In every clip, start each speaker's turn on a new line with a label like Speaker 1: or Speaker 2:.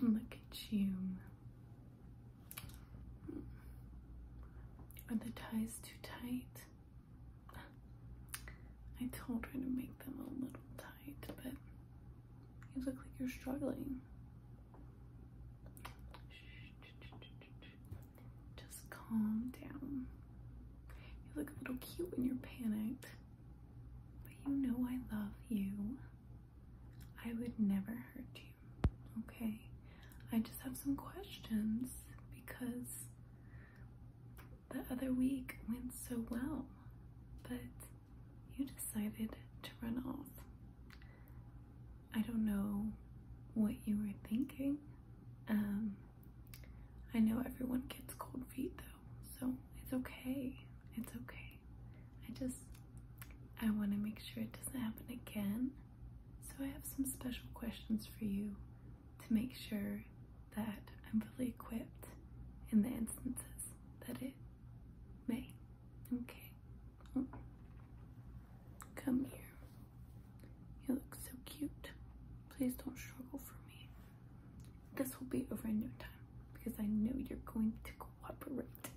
Speaker 1: Look at you. Are the ties too tight? I told her to make them a little tight, but you look like you're struggling. Just calm down. You look a little cute when you're panicked. But you know I love you. I would never hurt you, okay? I just have some questions because the other week went so well, but you decided to run off. I don't know what you were thinking. Um, I know everyone gets cold feet though, so it's okay. It's okay. I just, I want to make sure it doesn't happen again. So I have some special questions for you to make sure that I'm fully equipped in the instances that it may. Okay. Oh. Come here. You look so cute. Please don't struggle for me. This will be over in no time because I know you're going to cooperate.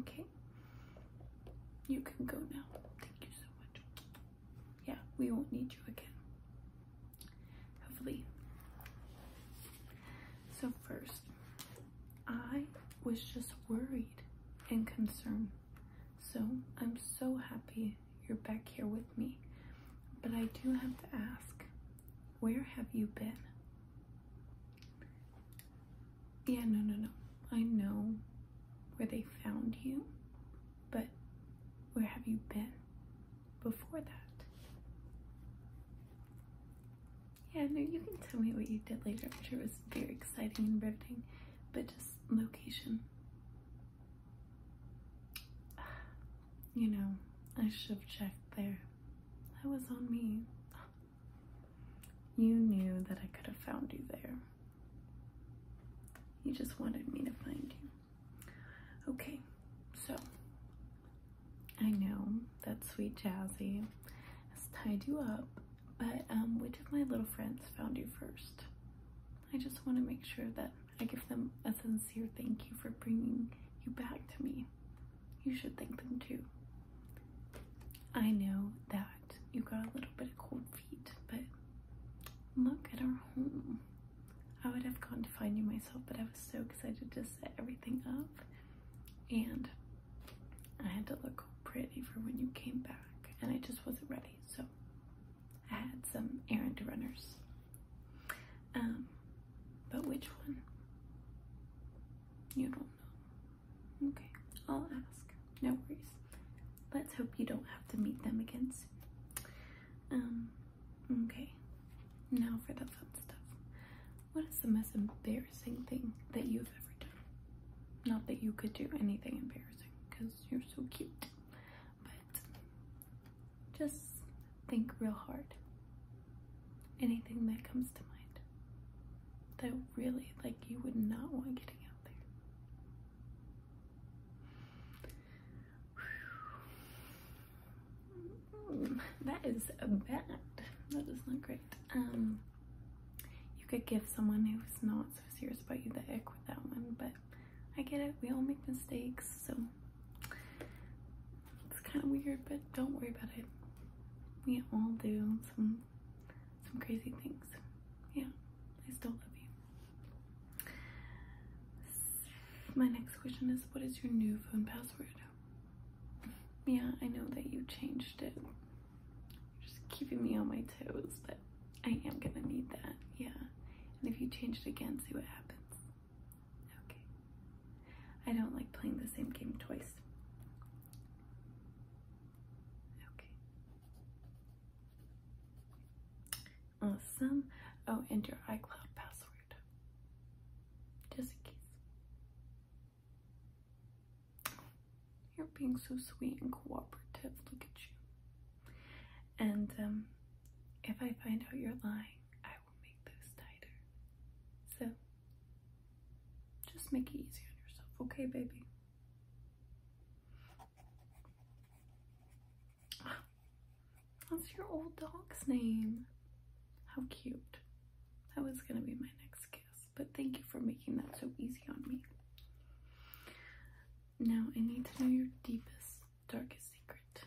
Speaker 1: Okay? You can go now. Thank you so much. Yeah, we won't need you again. Hopefully. So first, I was just worried and concerned. So I'm so happy you're back here with me. But I do have to ask, where have you been? Yeah, no, no, no. I know where they found you, but where have you been before that? Yeah, no, you can tell me what you did later. I'm sure it was very exciting and riveting, but just location. You know, I should have checked there. That was on me. You knew that I could have found you there. You just wanted me to find you. Okay, so I know that sweet Jazzy has tied you up, but um, which of my little friends found you first? I just want to make sure that I give them a sincere thank you for bringing you back to me. You should thank them too. I know that you got a little bit of cold feet, but look at our home. I would have gone to find you myself, but I was so excited to set everything up. And I had to look pretty for when you came back, and I just wasn't ready so I had some errand runners. Um, but which one? You don't know. Okay, I'll ask. No worries. Let's hope you don't have to meet them again Um, okay. Now for the fun stuff. What is the most embarrassing thing that you've ever done? Not that you could do anything embarrassing, because you're so cute but just think real hard. Anything that comes to mind that really, like, you would not want getting out there. That is bad. That is not great. Um, you could give someone who's not so serious about you the ick with that one, but I get it, we all make mistakes, so it's kind of weird, but don't worry about it. We all do some some crazy things. Yeah, I still love you. My next question is, what is your new phone password? Yeah, I know that you changed it. You're just keeping me on my toes, but I am gonna need that, yeah. And if you change it again, see what happens. Okay. I don't like playing the same game twice. Okay. Awesome. Oh, and your iCloud password. Just in case. You're being so sweet and cooperative. Look at you. And um, if I find out you're lying, I will make those tighter. So just make it easy on yourself, okay, baby? That's your old dog's name. How cute. That was going to be my next guess, but thank you for making that so easy on me. Now I need to know your deepest, darkest secret.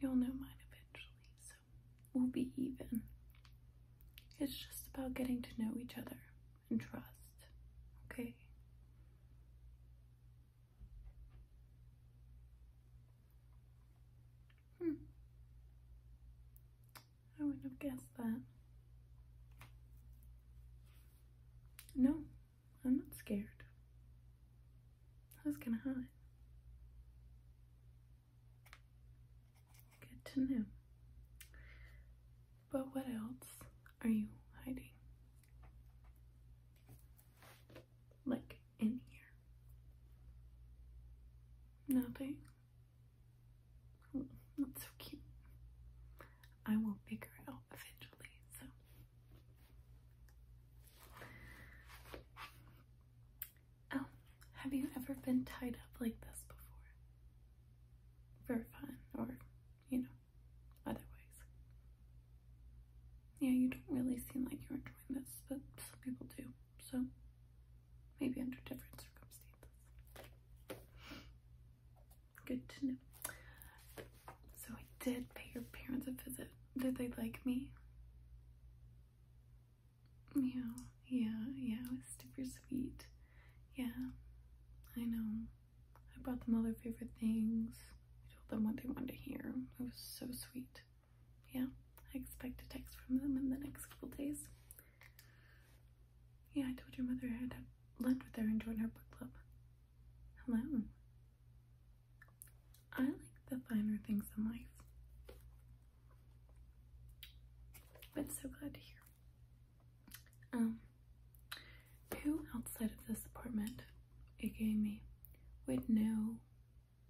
Speaker 1: You'll know mine eventually, so we'll be even. It's just about getting to know each other and trust, okay? Hmm. I wouldn't have guessed that. No, I'm not scared. I was gonna hide. Good to know. But what else are you hiding? Like in here? Nothing. Oh, so cute. I will figure it out eventually, so. Oh, have you ever been tied up like this before? For fun, or, you know, otherwise. Yeah, you don't really seem like you're enjoying this, but some people do, so maybe under different circumstances. Good to know. So I did pay your parents a visit. Did they like me? Yeah, yeah, yeah, it was super sweet. Yeah, I know. I brought them all their favorite things. I told them what they wanted to hear. It was so sweet. Yeah, I expect a text from them in the next couple days. Yeah, I told your mother i had have lunch with her and join her book club. Hello. I like the finer things in life. I'm so glad to hear. Um, who outside of this apartment, aka me, would know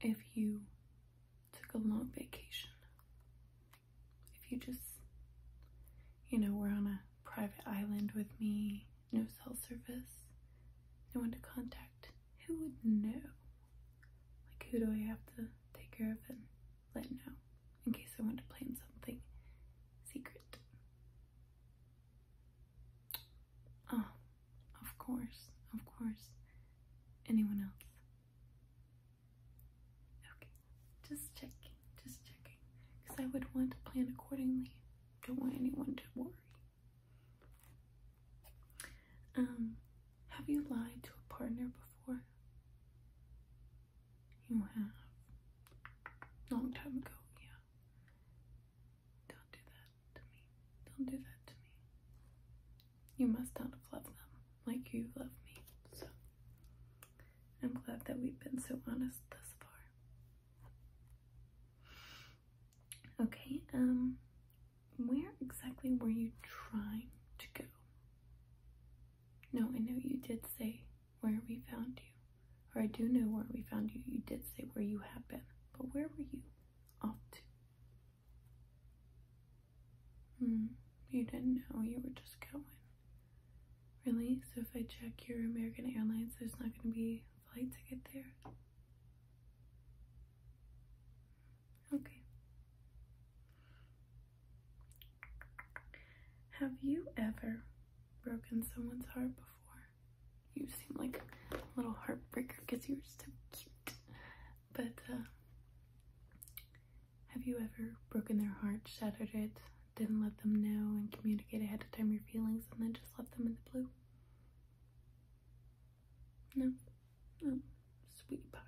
Speaker 1: if you took a long vacation? if you just, you know, we're on a private island with me, no cell service, no one to contact, who would know? Like, who do I have to take care of and let know in case I want to plan something secret? Oh, of course, of course. Anyone else? Okay, just checking, just checking. Because I would want to plan accordingly. Don't want anyone to worry. Um, have you lied to a partner before? You have. Long time ago, yeah. Don't do that to me. Don't do that to me. You must not have loved them like you love me, so I'm glad that we've been so honest thus far. Okay, um, where exactly were you trying to go? No, I know you did say where we found you. Or I do know where we found you. You did say where you have been. But where were you off to? Hmm, you didn't know you were just going. Really? So if I check your American Airlines, there's not going to be a flight to get there? Okay. Have you ever broken someone's heart before? You seem like a little heartbreaker because you are so cute. But, uh, have you ever broken their heart, shattered it, didn't let them know and communicate ahead of time your feelings and then just left them in the blue? No? Oh, sweet pie.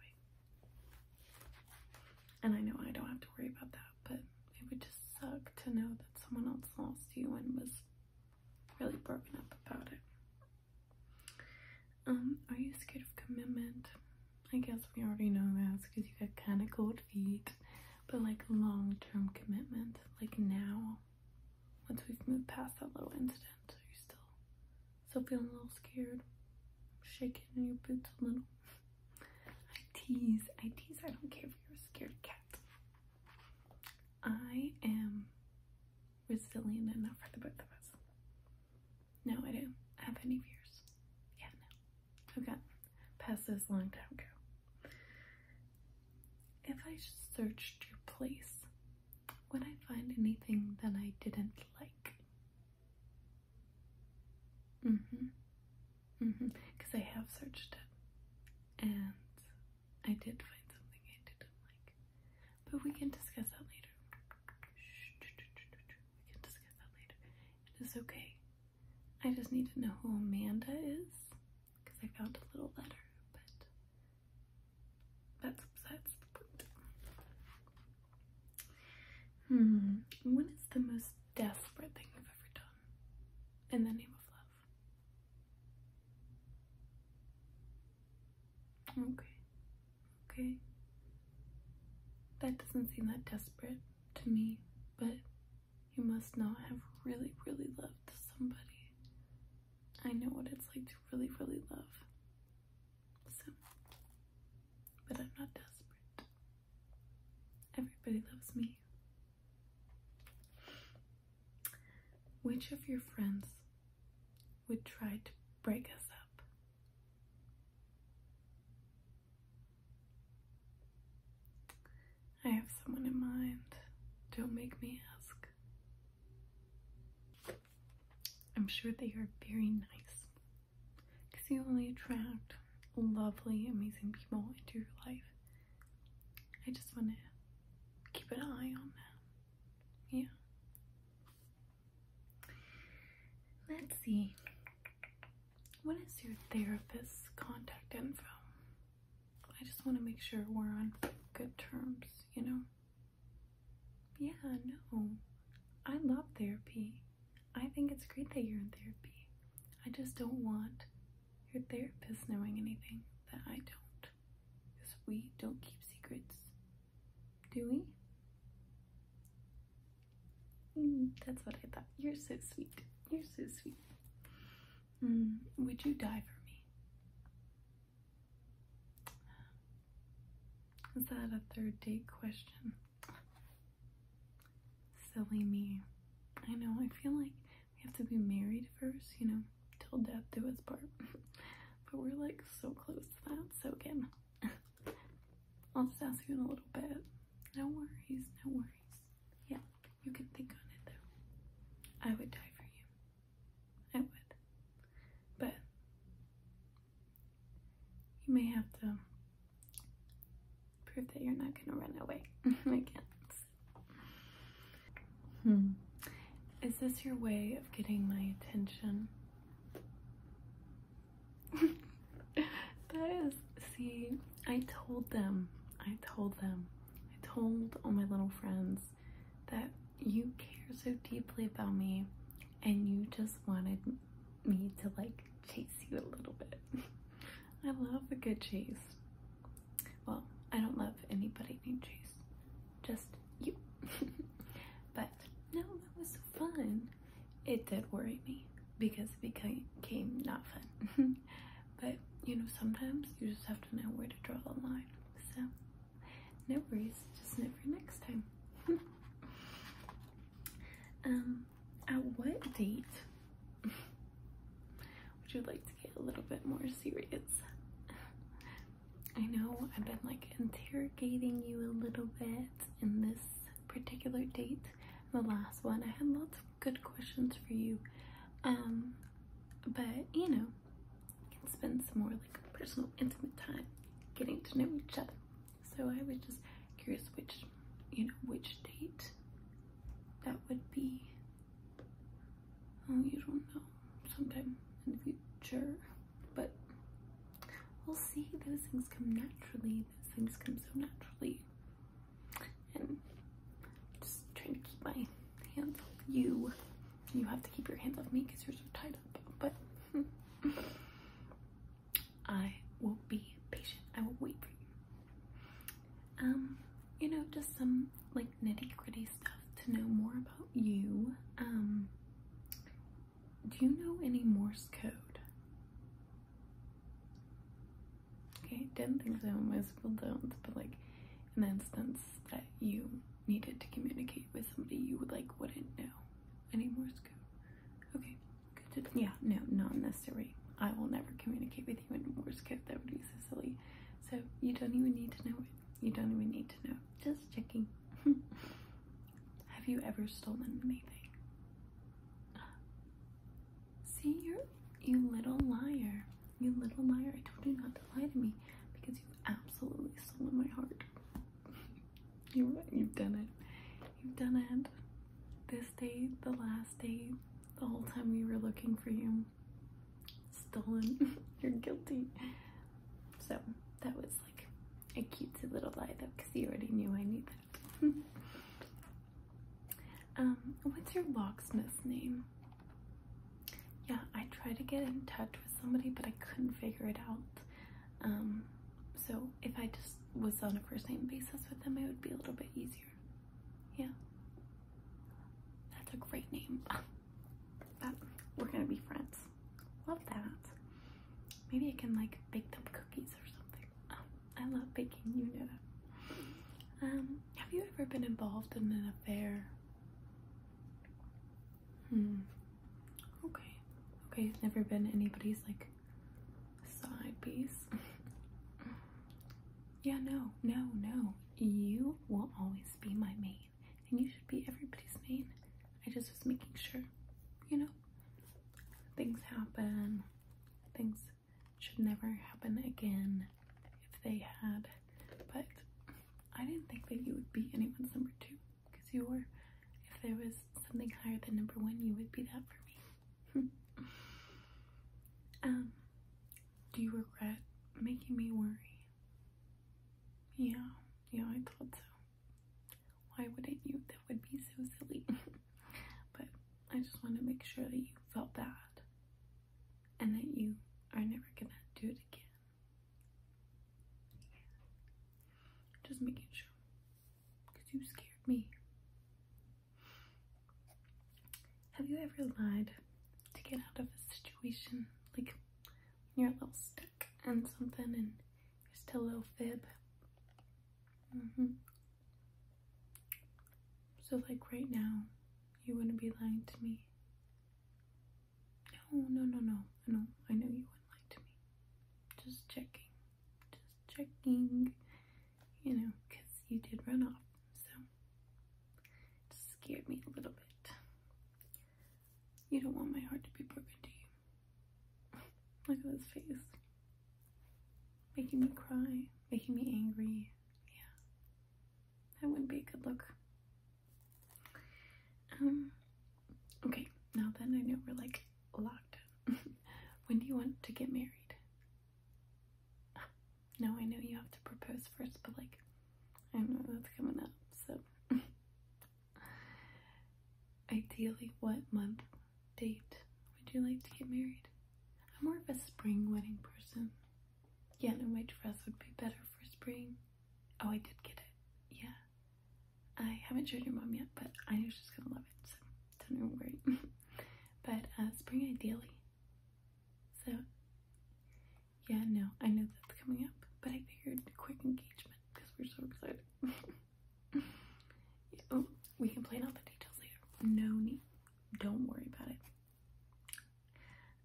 Speaker 1: And I know I don't have to worry about that, but it would just suck to know that someone else lost you and was really broken up about it. Um, are you scared of commitment? I guess we already know that because you got kind of cold feet, but like long term commitment, like now, once we've moved past that little incident, are you still, still feeling a little scared? Shaking in your boots a little? I tease, I tease, I don't care if you're a scared cat. I am resilient enough for the both of us. No, I don't have any fears. Yeah, no. I've past this long time ago. If I searched your place, would I find anything that I didn't like? Mm-hmm. Mm-hmm. Because I have searched it. And I did find something I didn't like. But we can discuss that later. We can discuss that later. It is okay. I just need to know who Amanda is because I found a little letter, but that's that's the point. Hmm. What is the most desperate thing you've ever done in the name of love? Okay. Okay? That doesn't seem that desperate to me, but you must not have really, really loved somebody. I know what it's like to really, really love. So, but I'm not desperate. Everybody loves me. Which of your friends would try to break us up? I have someone in mind. Don't make me ask. I'm sure they are very nice because you only attract lovely, amazing people into your life. I just want to keep an eye on them. Yeah. Let's see. What is your therapist's contact info? I just want to make sure we're on good terms, you know? Yeah, no. I love therapy. I think it's great that you're in therapy. I just don't want your therapist knowing anything that I don't. Because we don't keep secrets. Do we? Mm, that's what I thought. You're so sweet. You're so sweet. Mm, would you die for me? Is that a third date question? Silly me. I know, I feel like we have to be married first, you know, till death do us part. but we're like so close to that, so again. I'll just ask you in a little bit. No worries, no worries. Yeah, you can think on it though. I would die for you. I would. But you may have to prove that you're not gonna run away again. Hmm. Is this your way of getting my attention? that is, see, I told them, I told them, I told all my little friends that you care so deeply about me and you just wanted me to like chase you a little bit. I love a good chase. Well, I don't love anybody named Chase, just you. but no, that was fun it did worry me because it became not fun. but you know, sometimes you just have to know where to draw the line. So, no worries, just know for next time. um, at what date would you like to get a little bit more serious? I know I've been like interrogating you a little bit, in this particular date. The last one, I had lots of good questions for you, um, but you know, can spend some more like personal, intimate time getting to know each other. So I was just curious which, you know, which date that would be. Oh, you don't know. Sometime in the future but we'll see. Those things come naturally. Those things come so naturally. And just trying to keep my hands off you. You have to keep your hands off me because you're so tied up. But I will be patient. I will wait for you. Um, you know, just some like nitty gritty stuff to know more about you. Um, do you know any Morse code? Okay, didn't think so. Most people don't, but like an instance that you needed to communicate with somebody, you would like wouldn't know any Morse code. Okay, good. To, yeah, no, not necessary. I will never communicate with you in Morse code. That would be silly. So you don't even need to know it. You don't even need to know. Just checking. Have you ever stolen anything? See, you're you little liar. You little liar. I told you not to lie to me because you have absolutely stolen my heart. you've done it. You've done it. This day, the last day, the whole time we were looking for you. Stolen. you're guilty. So that was like a cute little lie though, because he already knew I knew that. um, what's your locksmith's name? Yeah, I tried to get in touch with somebody, but I couldn't figure it out. Um, so if I just was on a first name basis with them, it would be a little bit easier. Yeah. That's a great name. but we're gonna be friends. Love that. Maybe I can like bake them cookies or something. Oh, I love baking, you know Um, have you ever been involved in an affair? Hmm. Okay. Okay, it's never been anybody's like side piece. yeah, no, no, no. You will always be my mate and you should be everybody's main. I just was making sure, you know, things happen, things should never happen again if they had, but I didn't think that you would be anyone's number two because you were, if there was something higher than number one, you would be that for me. um, do you regret making me worry? Yeah, yeah, I thought so. Why wouldn't you? That would be so silly. but I just want to make sure that you felt bad and that you are never gonna do it again. Just making sure. Because you scared me. Have you ever lied to get out of a situation? Like, you're a little stuck and something and just a little fib. Mm-hmm. So, like right now, you wouldn't be lying to me. No, no, no, no. I know, I know you wouldn't lie to me. Just checking. Just checking. You know, because you did run off. So, scared me a little bit. You don't want my heart to be broken, do you? Look at this face. Making me cry, making me angry. Yeah. That wouldn't be a good look. Um, okay, now then I know we're like locked. when do you want to get married? No, I know you have to propose first, but like, I don't know that's coming up, so Ideally, what month, date would you like to get married? I'm more of a spring wedding person. Yeah, no, my dress would be better for spring. Oh, I did get it. Yeah. I haven't showed your mom yet, but I know she's gonna love it, so don't even worry. but uh, spring ideally. So yeah, no, I know that's coming up, but I figured quick engagement because we're so excited. oh, we can plan out the details later. No need. Don't worry about it.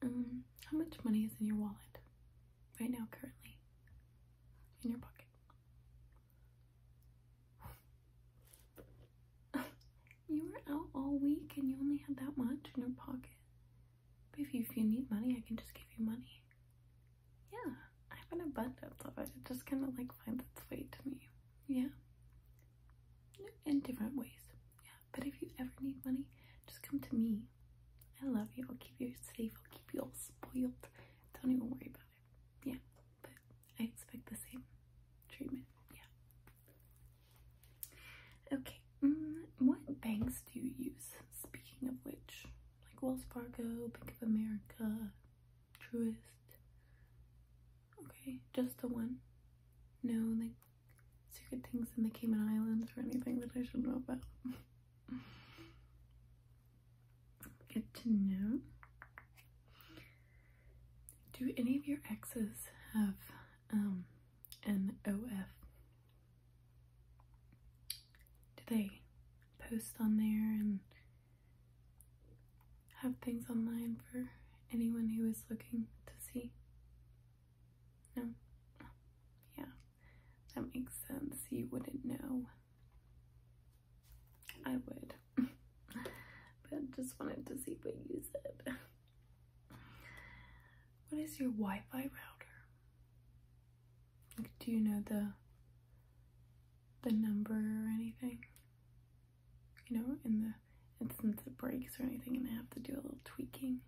Speaker 1: Um, how much money is in your wallet right now, currently? In your pocket? you were out all week and you only had that much in your pocket if you, if you need money, I can just give you money. Yeah, I have an abundance of it. It just kind of like finds its way to me. Yeah. In different ways. Yeah. But if you ever need money, just come to me. I love you. I'll keep you safe. I'll keep you all spoiled. Don't even worry about it. Yeah. But I expect the same treatment. Yeah. Okay. Mm, what banks do you use? Speaking of which, like Wells Fargo, Bank of America, Truist. Okay, just the one. No, like secret things in the Cayman Islands or anything that I should know about. Get to know. Do any of your exes have um, an OF do they post on there and have things online for anyone who is looking to see? No? Yeah, that makes sense. You wouldn't know. I would. but just wanted to see what you said. What is your Wi Fi router? do you know the the number or anything? You know, in the instance it breaks or anything, and I have to do a little tweaking.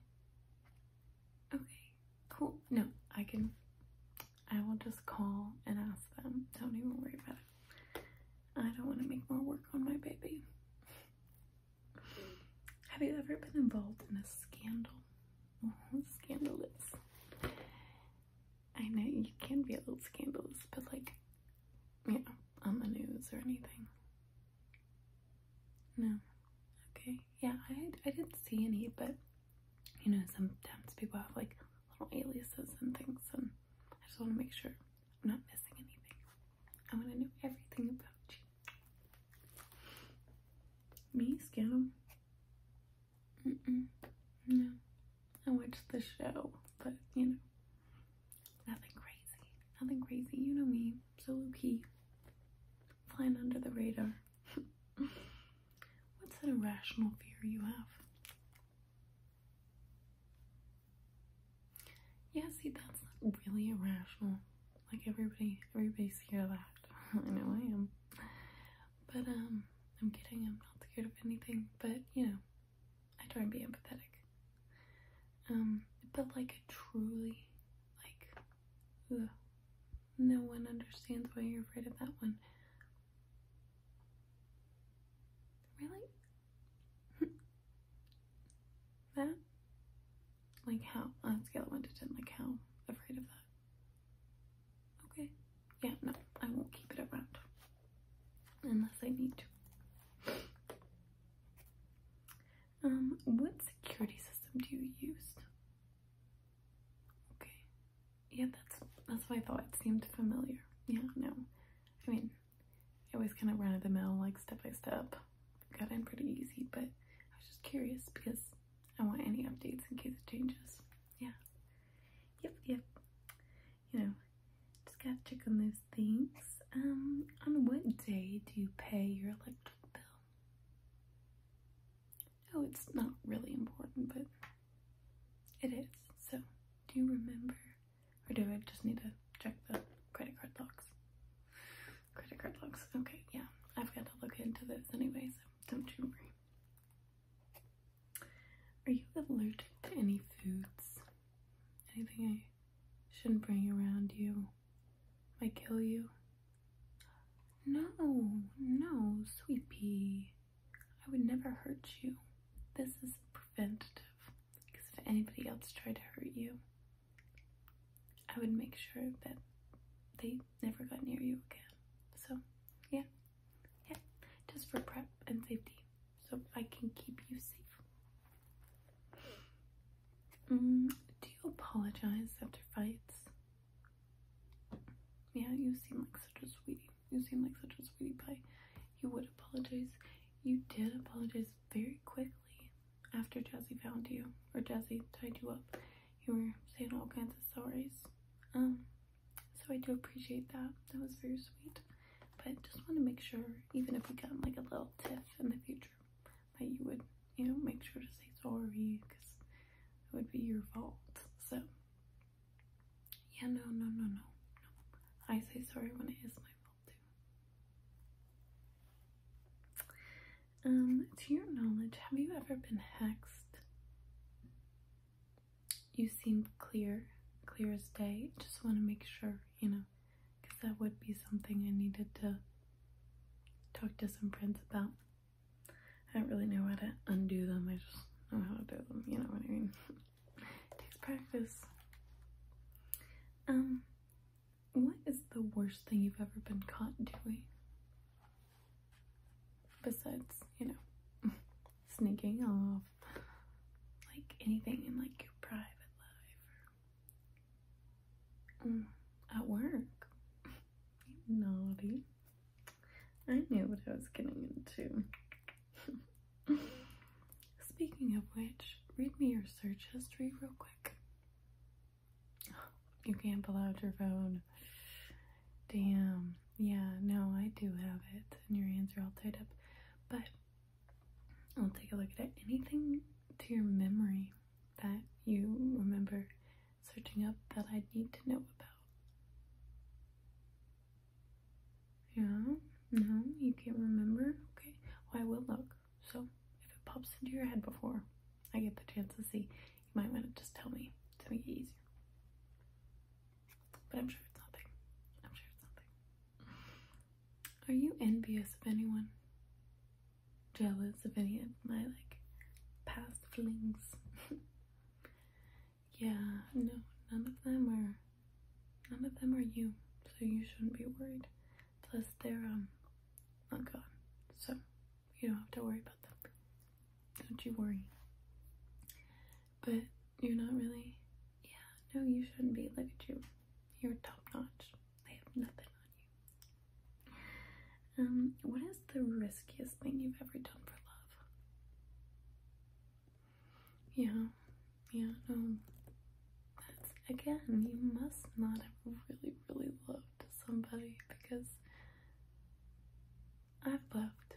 Speaker 1: Okay, cool. No, I can. I will just call and ask them. Don't even worry about it. I don't want to make more work on my baby. Have you ever been involved in a scandal? Uh-huh, scandalous. I know you can be a little scandalous, but like, you know, on the news or anything. No. Okay. Yeah, I, I didn't see any, but you know, sometimes people have like little aliases and things, and I just want to make sure I'm not missing anything. I want to know everything about you. Me, scam. No. I watched the show, but, you know, nothing crazy. Nothing crazy. You know me. So low-key. Flying under the radar. What's an irrational fear you have? Yeah, see, that's not really irrational. Like everybody, everybody's scared of that. I know I am. But um, I'm kidding. I'm not scared of anything. But you know, I try and be empathetic. Um, but like truly, like, no one understands why you're afraid of that one. Really? that? Like how? On scale of 1 to 10, like how afraid of that? Okay. Yeah, no, I won't keep it around. Unless I need to. Um, what security system do you use? Okay. Yeah, that's that's what I thought. It seemed familiar. Yeah, no. I mean, it was kind of run of the mill, like step by step got in pretty easy, but I was just curious because I want any updates in case it changes. Yeah. Yep, yep. You know, just gotta check on those things. Um, on what day do you pay your electric bill? Oh, it's not really important, but it is. So, do you remember? Or do I just need to check the credit card locks? Credit card logs. Okay, yeah. I've got to look into this anyway, so don't you worry. Are you allergic to any foods? Anything I shouldn't bring around you? Might kill you? No, no, sweet I would never hurt you. This is preventative. Because if anybody else tried to hurt you, I would make sure that they never got near you again. So, yeah, yeah, just for prep and safety, so I can keep you safe. Mm, do you apologize after fights? Yeah, you seem like such a sweetie. You seem like such a sweetie pie. You would apologize. You did apologize very quickly after Jazzy found you, or Jazzy tied you up, you were saying all kinds of sorries. Um, so I do appreciate that. That was very sweet. But just want to make sure, even if we got like a little tiff in the future, that you would, you know, make sure to say sorry because it would be your fault. So, yeah, no, no, no, no, no. I say sorry when it is my fault too. Um, to your knowledge, have you ever been hexed? You seem clear, clear as day. Just want to make sure, you know, because that would be something I needed to talk to some friends about. I don't really know how to undo them. I just know how to do them. You know what I mean? it takes practice. Um, what is the worst thing you've ever been caught doing? Besides, you know, sneaking off. Like anything in like your private life. Or, mm, at work. Naughty. I knew what I was getting into. Speaking of which, read me your search history real quick. You can't pull out your phone. Damn. Yeah, no, I do have it. And your hands are all tied up. But I'll take a look at it. Anything to your memory that you remember searching up that I need to know about? Yeah? No? You can't remember? Okay. I will look. So if it pops into your head before I get the chance to see, you might want to just tell me to make it easier. But I'm sure it's nothing. I'm sure it's nothing. Are you envious of anyone? Jealous of any of my like past flings? yeah, no, none of them are none of them are you, so you shouldn't be worried. Plus, they're um not gone, so you don't have to worry about them. Don't you worry. But you're not really. Yeah, no, you shouldn't be. Look at you. You're top notch. They have nothing on you. Um, what is the riskiest thing you've ever done for love? Yeah, yeah, no that's again, you must not have really, really loved somebody because I've loved,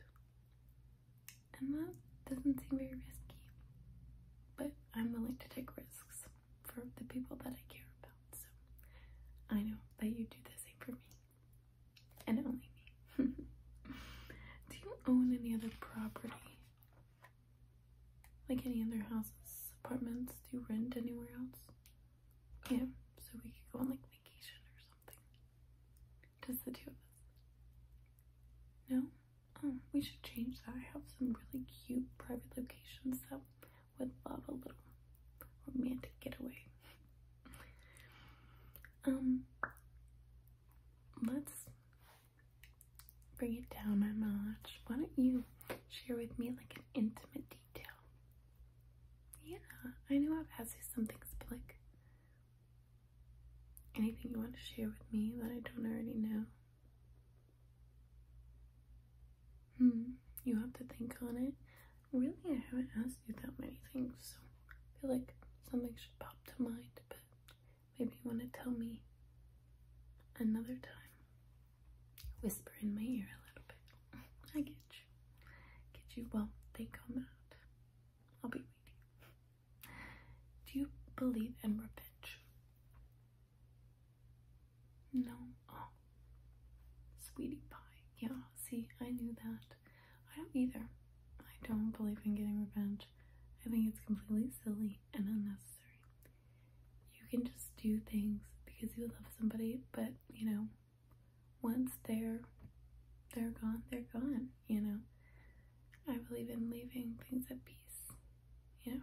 Speaker 1: and that doesn't seem very risky, but I'm willing to take risks for the people that I care about. So I know that you do the same for me, and only me. do you own any other property? like any other houses, apartments, do you rent anywhere else? Um, yeah, so we could go on like vacation or something. Just the two of us. No? Oh, we should change that. I have some really cute private locations that would love a little romantic getaway. Um, let's bring it down a notch. Why don't you share with me like an intimate detail? Yeah, I know I've asked you something, but like anything you want to share with me that I don't already know. Hmm, you have to think on it. Really, I haven't asked you that many things, so I feel like something should pop to mind, but maybe you want to tell me another time whisper in my ear a little bit. I get you. Get you. Well, they come out. I'll be waiting. Do you believe in revenge? No. Oh. Sweetie pie. Yeah, see, I knew that. I don't either. I don't believe in getting revenge. I think it's completely silly and unnecessary you can just do things because you love somebody, but you know, once they're they're gone, they're gone, you know. I believe in leaving things at peace. You know,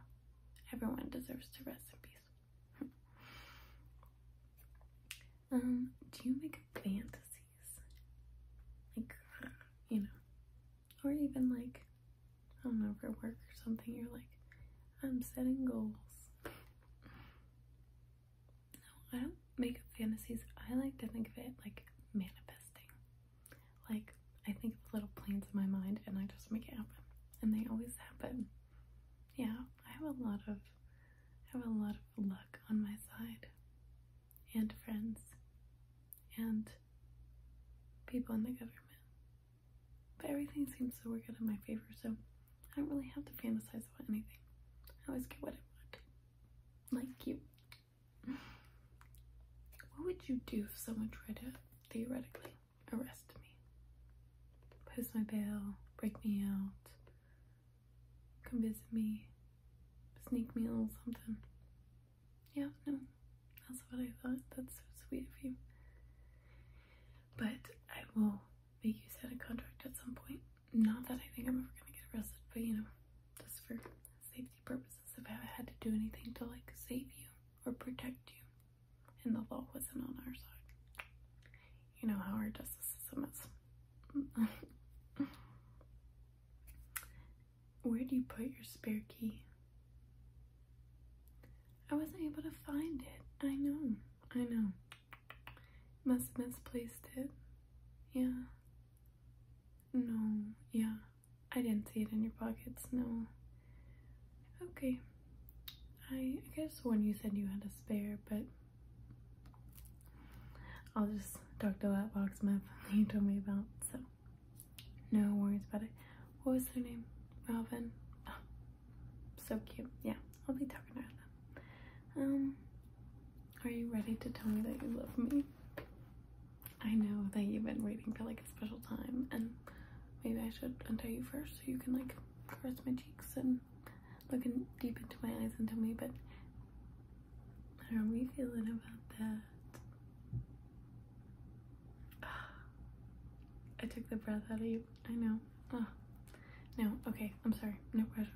Speaker 1: everyone deserves to rest in peace. um, do you make fantasies? Like, you know, or even like I don't know, for work or something, you're like, I'm setting goals. No, I don't make up fantasies. I like to think of it like manifesting. Like, I think of little plans in my mind and I just make it happen. And they always happen. Yeah, I have a lot of, I have a lot of luck on my side. And friends. And people in the government. But everything seems so good in my favor, so I don't really have to fantasize about anything. I always get what I want. Like you. What would you do if someone tried to theoretically arrest me? Post my bail, break me out, come visit me, sneak me a little something yeah, no, that's what I thought. That's so sweet of you. But I will make you sign a contract at some point. Not that I think I'm ever gonna get arrested, but you know, just for safety purposes, if I had to do anything to like save you or protect you, and the law wasn't on our side, you know how our justice system is. Where do you put your spare key? I wasn't able to find it. I know. I know. Must have misplaced it. Yeah. No. Yeah. I didn't see it in your pockets. No. Okay. I, guess when you said you had a spare, but I'll just talk to that box map you told me about. So, no worries about it. What was her name? Robin. Ah, so cute. Yeah, I'll be talking about them. Um, are you ready to tell me that you love me? I know that you've been waiting for like a special time and maybe I should untie you first so you can like caress my cheeks and look in deep into my eyes and tell me, but how are we feeling about that? I took the breath out of you. I know. No, okay, I'm sorry. No pressure.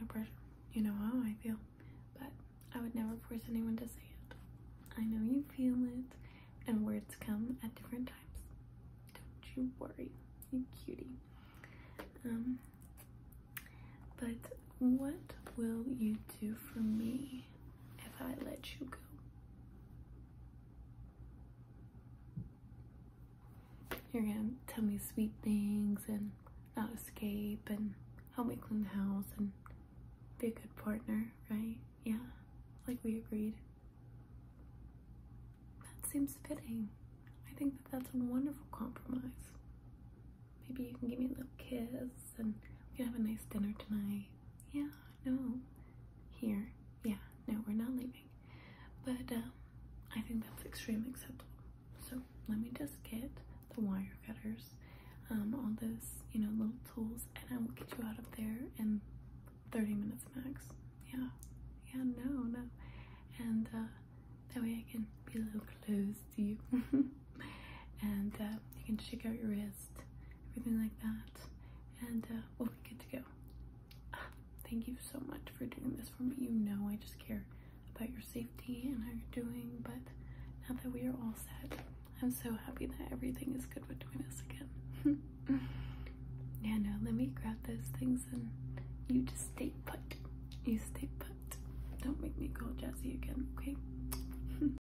Speaker 1: No pressure. You know how I feel. But I would never force anyone to say it. I know you feel it, and words come at different times. Don't you worry, you cutie. Um, but what will you do for me? if I let you go. You're gonna tell me sweet things and not escape and help me clean the house and be a good partner, right? Yeah, like we agreed. That seems fitting. I think that that's a wonderful compromise. Maybe you can give me a little kiss and we to have a nice dinner tonight. Yeah, no, here. Yeah, no, we're not leaving. But um, I think that's extremely acceptable. So let me just get the wire cutters, um, all those, you know, little tools, and I will get you out of there in 30 minutes max. Yeah, yeah, no, no. And uh, that way I can be a little close to you. and uh, you can check out your wrist everything like that. And uh, we'll be good to go. Ah, thank you so much for doing this for me. You know I just care about your safety and how you're doing. But now that we are all set, I'm so happy that everything is good between us again. yeah, no, let me grab those things and you just stay put. You stay put. Don't make me call Jazzy again, okay?